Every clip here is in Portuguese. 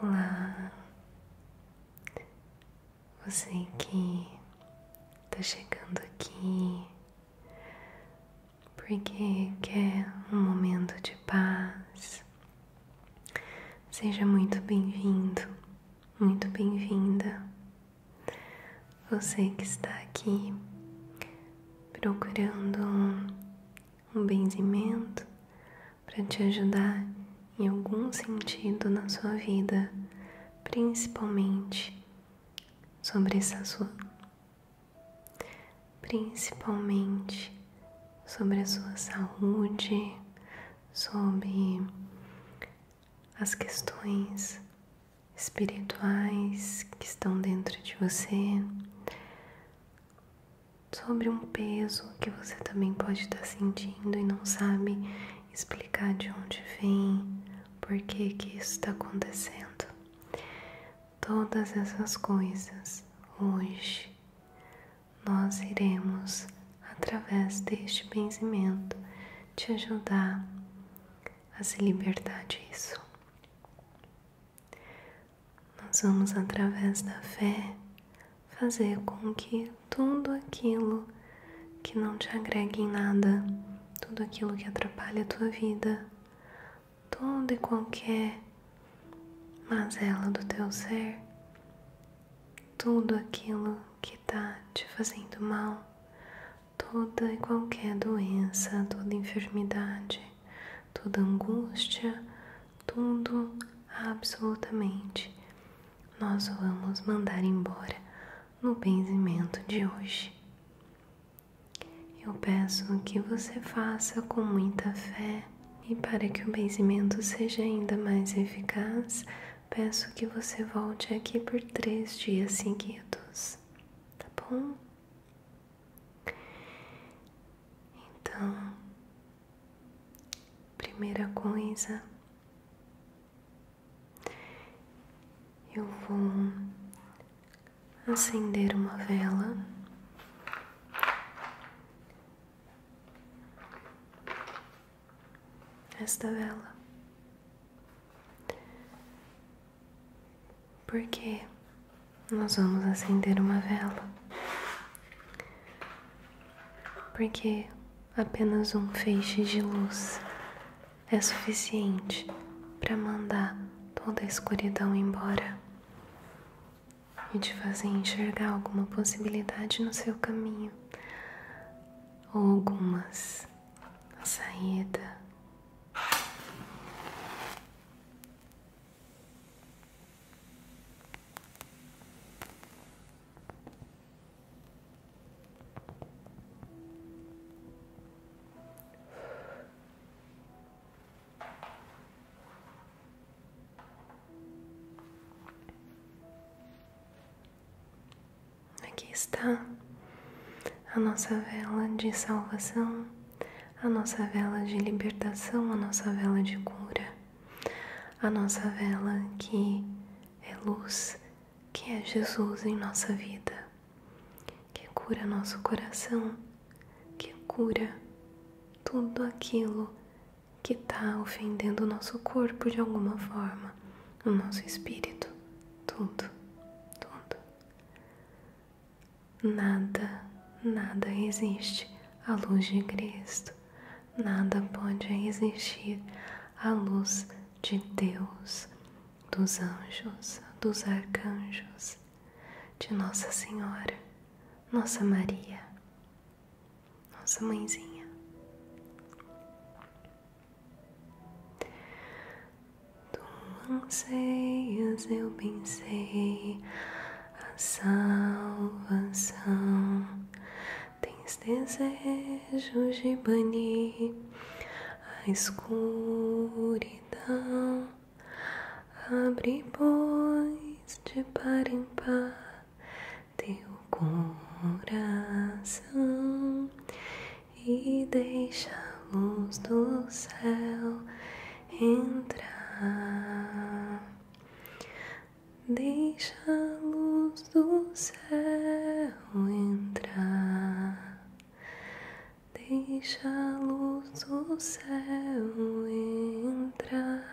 Olá, você que está chegando aqui porque quer um momento de paz, Seja muito bem-vindo, muito bem-vinda. Você que está aqui procurando um benzimento para te ajudar em algum sentido na sua vida, principalmente sobre essa sua principalmente sobre a sua saúde, sobre as questões espirituais que estão dentro de você, sobre um peso que você também pode estar sentindo e não sabe explicar de onde vem, por que que isso está acontecendo. Todas essas coisas hoje nós iremos, através deste benzimento, te ajudar a se libertar disso. Nós vamos, através da fé, fazer com que tudo aquilo que não te agregue em nada, tudo aquilo que atrapalha a tua vida, tudo e qualquer mazela do teu ser, tudo aquilo que está te fazendo mal, toda e qualquer doença, toda enfermidade, toda angústia, tudo absolutamente nós vamos mandar embora no benzimento de hoje. Eu peço que você faça com muita fé e para que o benzimento seja ainda mais eficaz, peço que você volte aqui por três dias seguidos, tá bom? Então, primeira coisa, eu vou acender uma vela. Esta vela, porque nós vamos acender uma vela, porque apenas um feixe de luz é suficiente para mandar toda a escuridão embora e te fazer enxergar alguma possibilidade no seu caminho, algumas, a saída. Aqui está a nossa vela de salvação, a nossa vela de libertação, a nossa vela de cura, a nossa vela que é luz, que é Jesus em nossa vida, que cura nosso coração que cura tudo aquilo que está ofendendo o nosso corpo de alguma forma, o nosso espírito, tudo, tudo. Nada, nada existe à luz de Cristo, nada pode existir à luz de Deus, dos anjos, dos arcanjos de Nossa Senhora, Nossa Maria, Nossa Mãezinha. Tu anseias, eu pensei, a salvação. Tens desejos de banir a escuridão Abre, pois, de par em par teu coração e deixa a luz do céu entrar. Deixa a luz do céu entrar. Deixa a luz do céu entrar.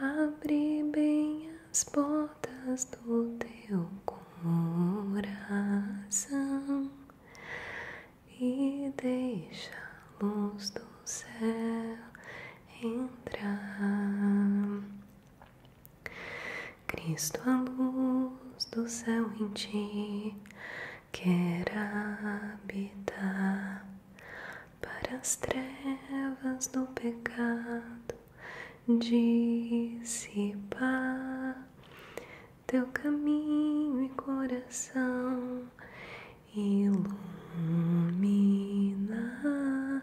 Abre bem as portas do teu coração e deixa a luz do céu entrar. Cristo, a luz do céu em ti quer habitar para as trevas do pecado dissipar teu caminho e coração ilumina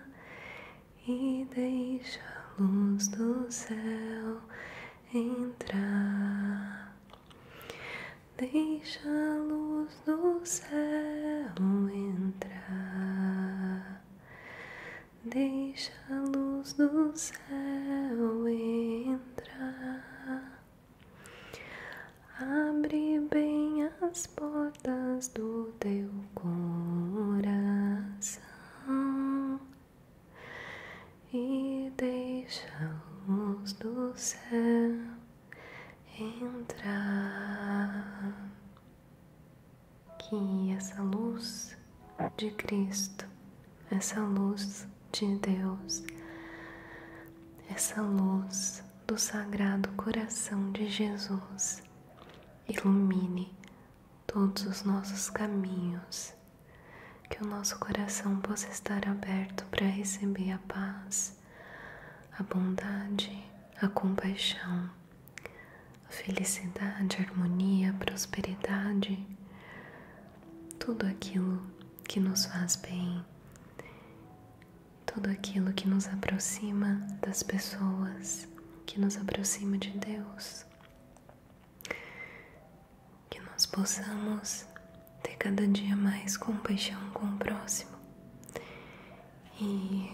e deixa a luz do céu entrar. Deixa a luz do céu entrar. Deixa a luz do céu entrar. Abre bem as portas do teu coração e deixamos do céu entrar. Que essa luz de Cristo, essa luz de Deus, essa luz do Sagrado Coração de Jesus ilumine todos os nossos caminhos, que o nosso coração possa estar aberto para receber a paz, a bondade, a compaixão, a felicidade, a harmonia, a prosperidade, tudo aquilo que nos faz bem, tudo aquilo que nos aproxima das pessoas, que nos aproxima de Deus que nós possamos ter cada dia mais compaixão com o próximo e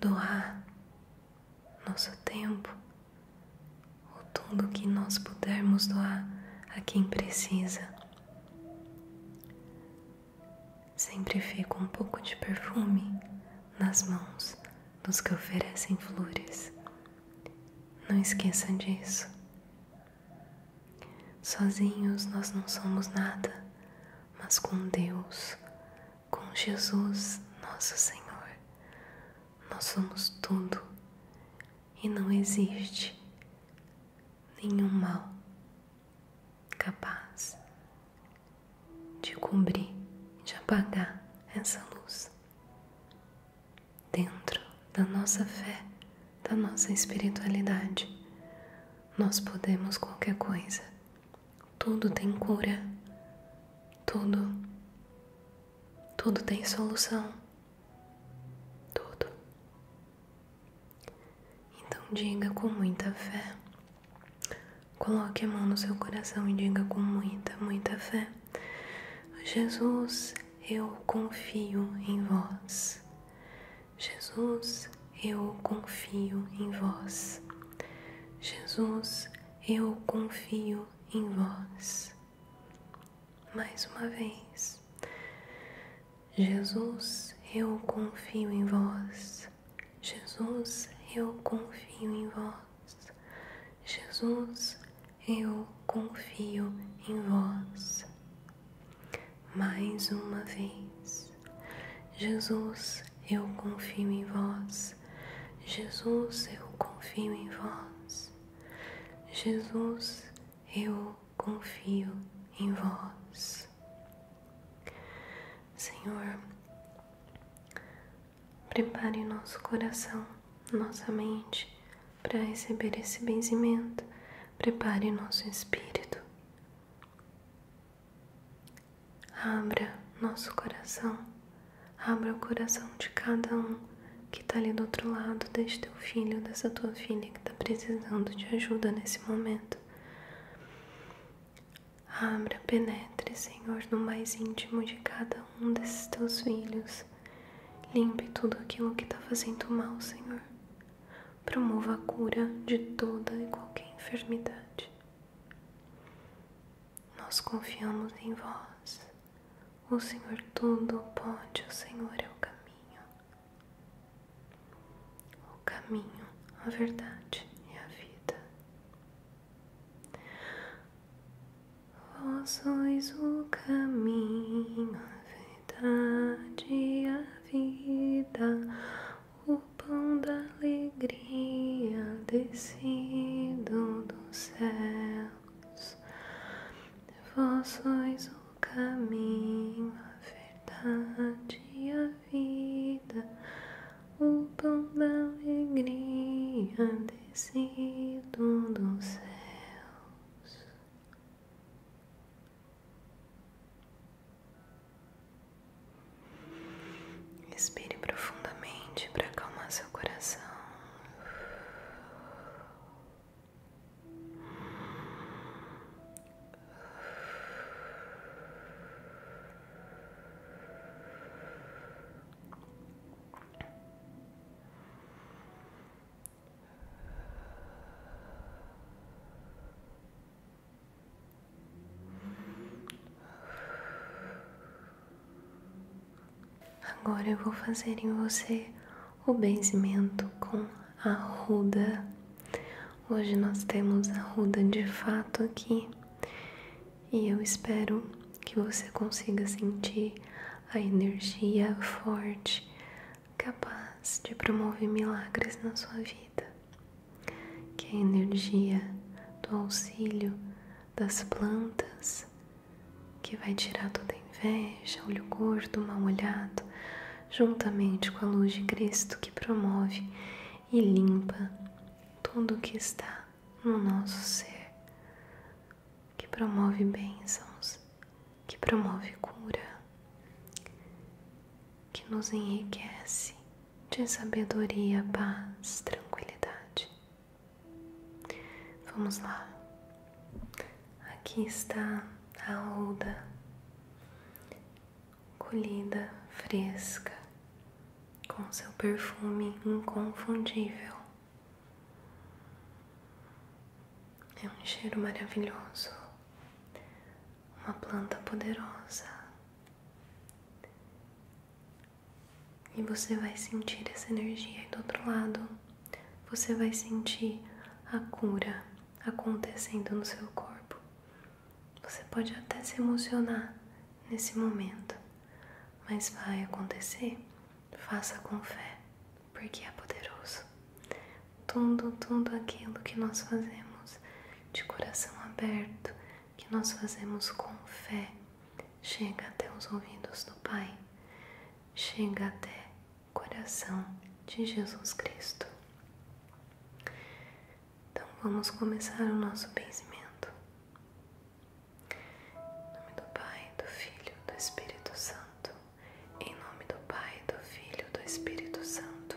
doar nosso tempo ou tudo que nós pudermos doar a quem precisa. Sempre fico um pouco de perfume nas mãos dos que oferecem flores. Não esqueçam disso. Sozinhos nós não somos nada, mas com Deus, com Jesus, nosso Senhor, nós somos tudo e não existe nenhum mal capaz de cobrir, de apagar essa luz dentro da nossa fé, da nossa espiritualidade. Nós podemos qualquer coisa. Tudo tem cura. Tudo. Tudo tem solução. Tudo. Então diga com muita fé Coloque a mão no seu coração e diga com muita, muita fé: Jesus, eu confio em vós. Jesus, eu confio em vós. Jesus, eu confio em vós. Mais uma vez. Jesus, eu confio em vós. Jesus, eu confio em vós. Jesus, eu confio em vós. Mais uma vez. Jesus, eu confio em vós. Jesus, eu confio em vós. Jesus, eu confio em vós. Senhor, Prepare nosso coração, nossa mente para receber esse benzimento. Prepare nosso espírito. Abra nosso coração. Abra o coração de cada um que está ali do outro lado, deste teu filho, dessa tua filha que está precisando de ajuda nesse momento. Abra, penetre, Senhor, no mais íntimo de cada um desses teus filhos. Limpe tudo aquilo que está fazendo mal, Senhor. Promova a cura de toda e qualquer enfermidade. Nós confiamos em vós. O Senhor tudo pode, o Senhor é o caminho. O caminho, a verdade e a vida. Vós sois o caminho, a verdade, e a vida, o pão da alegria descido dos céus. Vós sois o caminho, a verdade, e a vida, o pão da alegria descido dos céus. Respire profundamente para acalmar seu coração. Agora eu vou fazer em você o benzimento com a ruda. Hoje nós temos a ruda de fato aqui e eu espero que você consiga sentir a energia forte capaz de promover milagres na sua vida, que é a energia do auxílio das plantas que vai tirar toda inveja, olho gordo, mal olhado, juntamente com a luz de Cristo que promove e limpa tudo que está no nosso ser, que promove bênçãos, que promove cura, que nos enriquece de sabedoria, paz, tranquilidade. Vamos lá. Aqui está a Oda colhida fresca com seu perfume inconfundível. É um cheiro maravilhoso, uma planta poderosa. E você vai sentir essa energia. E do outro lado, você vai sentir a cura acontecendo no seu corpo. Você pode até se emocionar nesse momento, mas vai acontecer. Faça com fé, porque é poderoso. Tudo, tudo aquilo que nós fazemos de coração aberto, que nós fazemos com fé, chega até os ouvidos do Pai, chega até o coração de Jesus Cristo. Então vamos começar o nosso pensamento. Em nome do Pai, do Filho, do Espírito Santo. Em nome do Pai, do Filho, do Espírito Santo.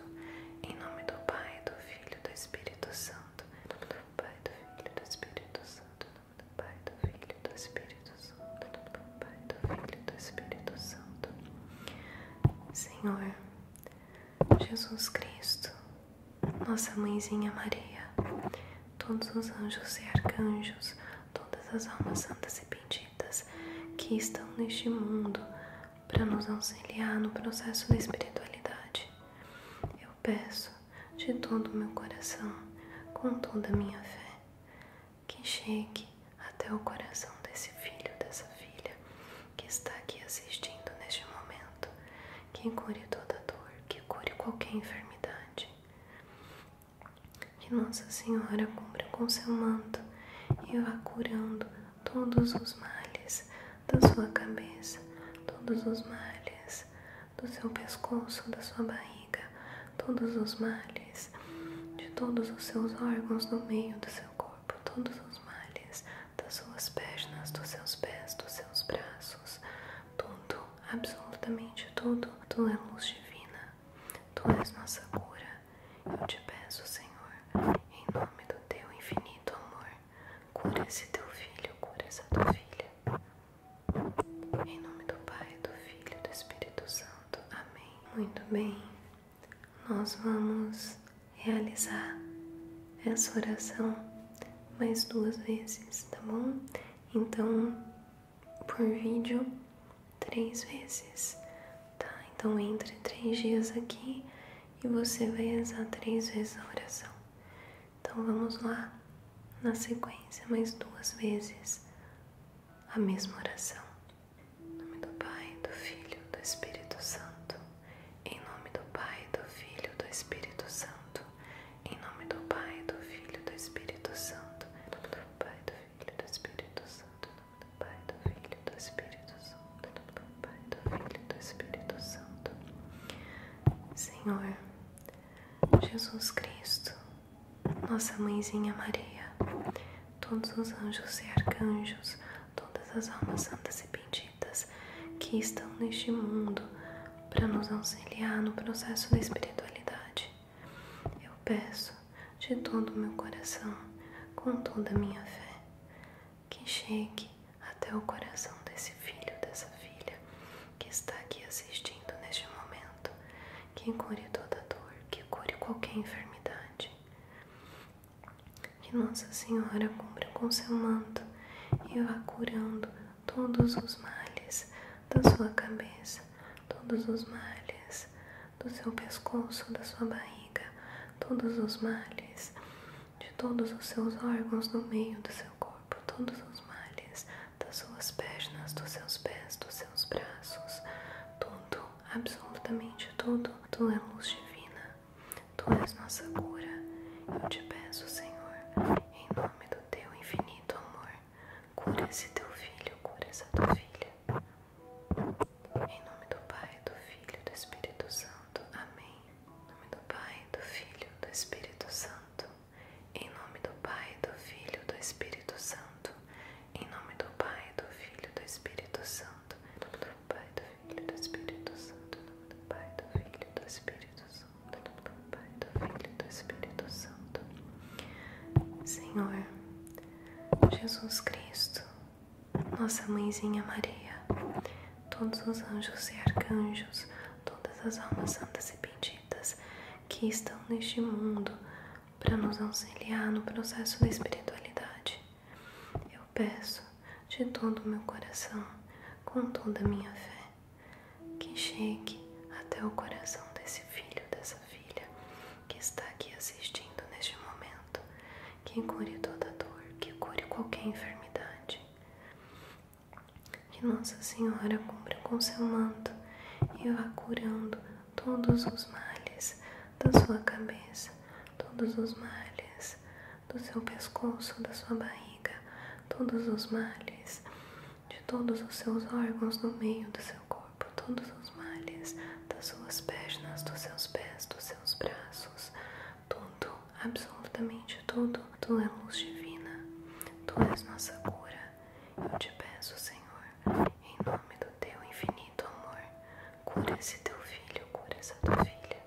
Em nome do Pai, do Filho, do Espírito Santo. Em nome do Pai, do Filho, do Espírito Santo. Em nome do Pai, do Filho, do Espírito Santo. Pai, do Filho, do Espírito Santo. Senhor, Jesus Cristo, Nossa Mãezinha Maria, todos os anjos e arcanjos, todas as almas santas e benditas que estão neste mundo para nos auxiliar no processo da espiritualidade. Eu peço de todo o meu coração, com toda a minha fé, que chegue até o coração desse filho, dessa filha, que está aqui assistindo neste momento, que cure toda dor, que cure qualquer enfermidade. Que Nossa Senhora cubra com seu manto e vá curando todos os males da sua cabeça, todos os males do seu pescoço, da sua barriga, todos os males de todos os seus órgãos no meio do seu corpo, todos os males das suas pernas, dos seus pés, dos seus braços, tudo, absolutamente tudo. Tu é luz divina, tu és nossa cura. Eu te peço, Senhor, em nome do teu infinito amor, cura esse teu filho, cura essa tua filha. Em nome do Pai, do Filho e do Espírito Santo. Amém. Muito bem nós vamos realizar essa oração mais duas vezes, tá bom? Então, por vídeo, três vezes, tá? Então, entre três dias aqui e você vai rezar três vezes a oração. Então, vamos lá, na sequência, mais duas vezes a mesma oração. Em nome do Pai, do Filho, do Espírito Santo. Em nome do Pai, do Filho, do Espírito Santo. Em nome do Pai, do Filho, do Espírito Santo. Em nome do Pai, do Filho, do Espírito Santo. Em nome do Pai, do Filho, do Espírito Santo. Em nome do Pai, do Filho, do Espírito Santo. Senhor, Jesus Cristo, Nossa Mãezinha Maria, todos os anjos e arcanjos, todas as almas santas e benditas que estão neste mundo para nos auxiliar no processo da espiritualidade. Eu peço de todo o meu coração, com toda a minha fé, que chegue até o coração desse filho, dessa filha que está aqui assistindo neste momento, que cure toda dor, que cure qualquer enfermidade, que Nossa Senhora cumpra com seu manto e vá curando todos os males da sua cabeça, todos os males do seu pescoço, da sua barriga, todos os males de todos os seus órgãos no meio do seu corpo, todos os males das suas pernas, dos seus pés, dos seus braços, tudo absolutamente tudo. Tu é luz divina, tu és nossa cura. Eu te peço, Senhor, em nome do teu infinito amor, cura esse teu filho, cura essa teu filha. Em nome do Pai, do Filho e do Espírito Santo. Amém. Em nome do Pai, do Filho e do Espírito Santo. Em nome do Pai, do Filho e do Espírito Santo. Em nome do Pai, do Filho e do Espírito Santo. Em nome do Pai, do Filho e do Espírito Santo. Em nome do Pai, do Filho e do Espírito Santo. Em nome do Pai, do Filho e do Espírito Santo. Senhor, Jesus Cristo, nossa mãezinha Maria, todos os anjos e arcanjos, todas as almas santas e benditas que estão neste mundo para nos auxiliar no processo da espiritualidade. Eu peço de todo o meu coração, com toda a minha fé, que chegue até o coração desse filho, dessa filha que está aqui assistindo neste momento, que cure toda dor, que cure qualquer enfermidade. Que Nossa Senhora cumpra com seu manto e vá curando todos os males da sua cabeça, todos os males do seu pescoço, da sua barriga, todos os males de todos os seus órgãos no meio do seu corpo, todos os males das suas pernas, dos seus pés, dos seus braços, tudo, absolutamente tudo. Tu és luz divina, tu és nossa cura. Eu te peço, Senhor, em nome do teu infinito amor, cura esse teu filho, cura essa tua filha.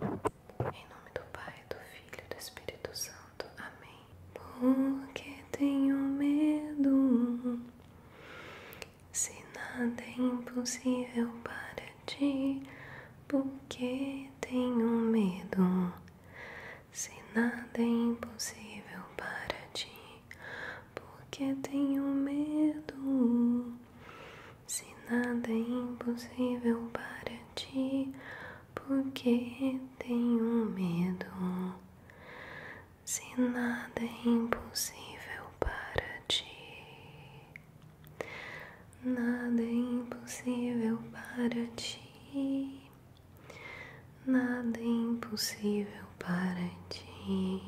Em nome do Pai, do Filho e do Espírito Santo. Amém. Porque tenho medo, se nada é impossível para ti. Porque tenho medo, se nada é impossível para ti porque tenho medo. Se nada é impossível para ti, porque tenho medo. Se nada é impossível para ti, nada é impossível para ti nada é impossível para ti.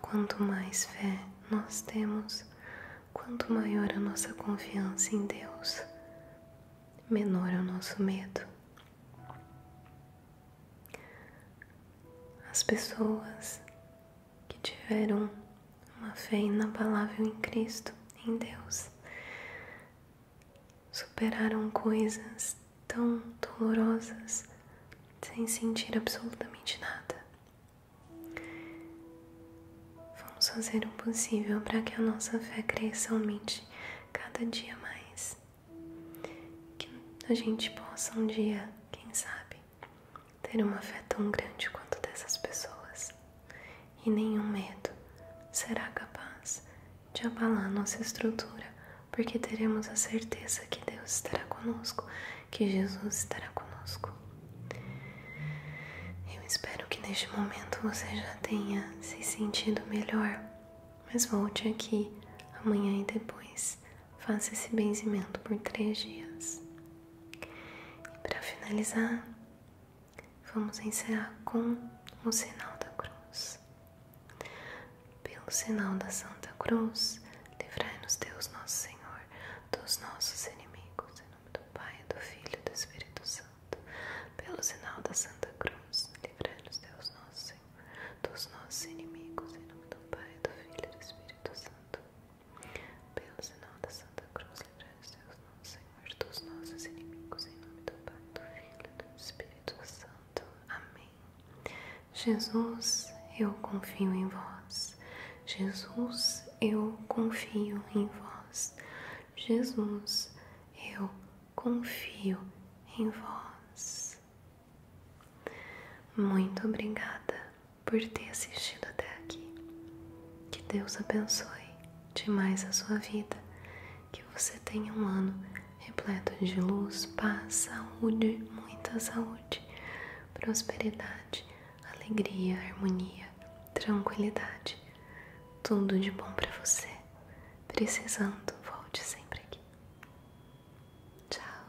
Quanto mais fé nós temos, quanto maior a nossa confiança em Deus, menor é o nosso medo. As pessoas que tiveram uma fé inabalável em Cristo, em Deus, superaram coisas tão dolorosas sem sentir absolutamente nada. Vamos fazer o possível para que a nossa fé cresça aumente cada dia mais. Que a gente possa um dia, quem sabe, ter uma fé tão grande quanto dessas pessoas, e nenhum medo será capaz de abalar nossa estrutura, porque teremos a certeza que Deus estará conosco, que Jesus estará conosco. Eu espero que neste momento você já tenha se sentido melhor, mas volte aqui amanhã e depois. Faça esse benzimento por três dias. E para finalizar, Vamos encerrar com o sinal da cruz. Pelo sinal da Santa Cruz, livrai-nos Deus nosso Senhor dos nossos inimigos, em nome do Pai, do Filho e do Espírito Santo. Pelo sinal da Santa Cruz, livrai-nos Deus nosso Senhor dos nossos inimigos, em nome do Pai, do Filho e do Espírito Santo. Pelo sinal da Santa Cruz, livrai-nos Deus, Senhor, dos nossos inimigos, em nome do Pai, do Filho e do Espírito Santo. Amém. Jesus, eu confio em vós. Jesus, eu confio em vós. Jesus, eu confio em vós. Muito obrigada por ter assistido até aqui. Que Deus abençoe demais a sua vida, que você tenha um ano repleto de luz, paz, saúde, muita saúde, prosperidade, alegria, harmonia, tranquilidade. Tudo de bom para você. Precisando, volte sempre aqui. Tchau.